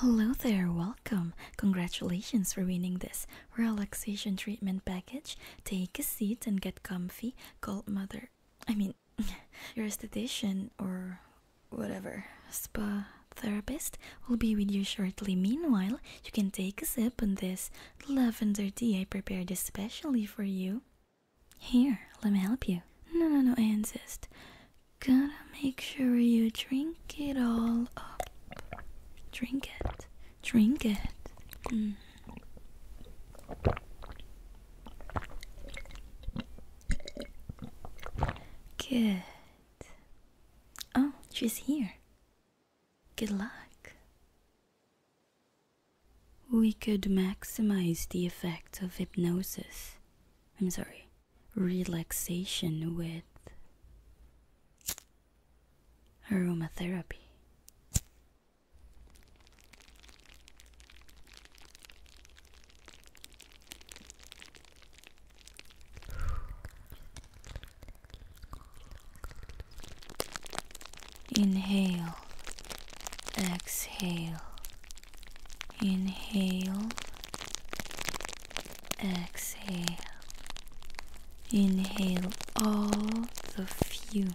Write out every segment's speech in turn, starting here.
Hello there, welcome. Congratulations for winning this relaxation treatment package. Take a seat and get comfy. Call mother. I mean, your esthetician or whatever spa therapist will be with you shortly. Meanwhile, you can take a sip on this lavender tea I prepared especially for you. Here, let me help you. No, no, no, I insist. Gonna make sure you drink it all up. Drink it. Drink it. Mm. Good. Oh, she's here. Good luck. We could maximize the effect of hypnosis. I'm sorry relaxation with aromatherapy. Inhale, exhale, Inhale, exhale. Inhale all the fumes.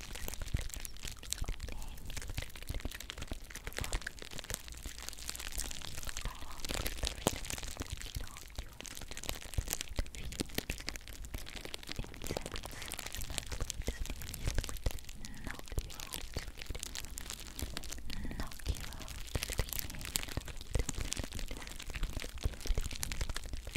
Not you,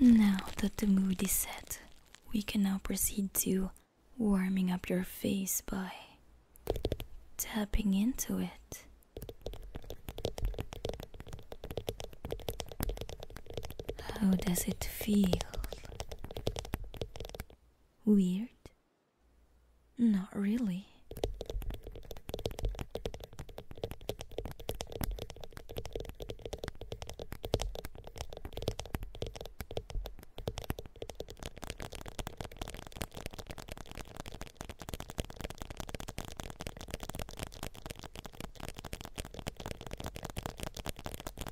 Now that the mood is set, we can now proceed to warming up your face by tapping into it. How does it feel? Weird? Not really.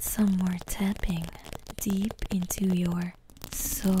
Some more tapping deep into your soul.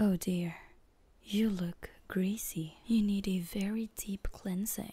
Oh dear, you look greasy. You need a very deep cleansing.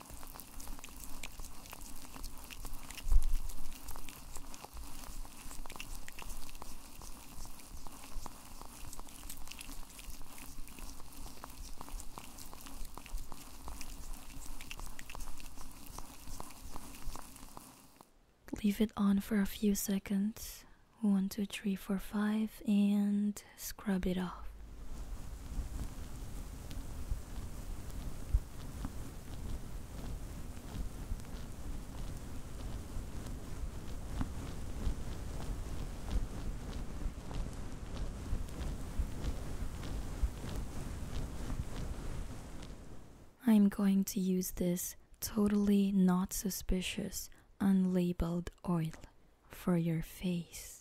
Leave it on for a few seconds. One, two, three, four, five, and scrub it off. I'm going to use this totally not suspicious unlabeled oil for your face.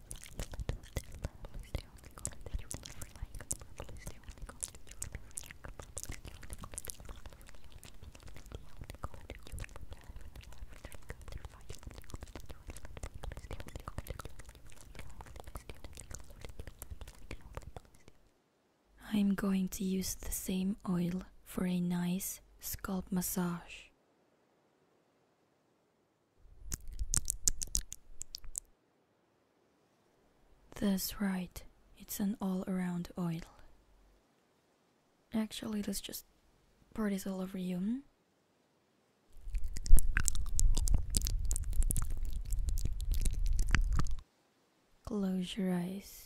I'm going to use the same oil for a nice scalp massage. That's right, it's an all around oil. Actually, let's just pour this all over you. Hmm? Close your eyes.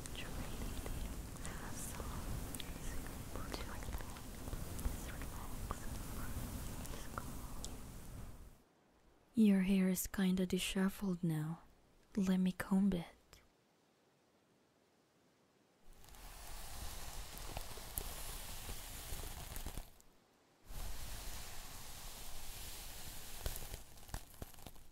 Your hair is kinda disheveled now. Let me comb it.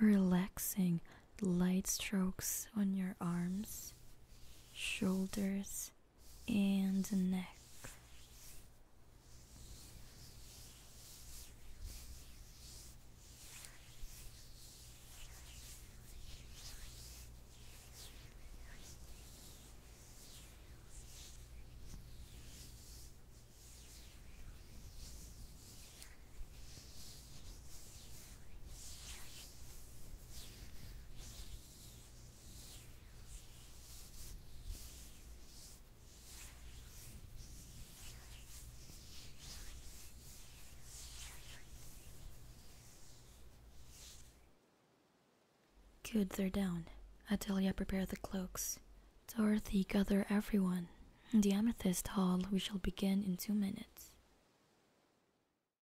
Relaxing light strokes on your arms, shoulders, and next. Good, they're down. Atelia prepare the cloaks. Dorothy, gather everyone. In the Amethyst Hall, we shall begin in two minutes.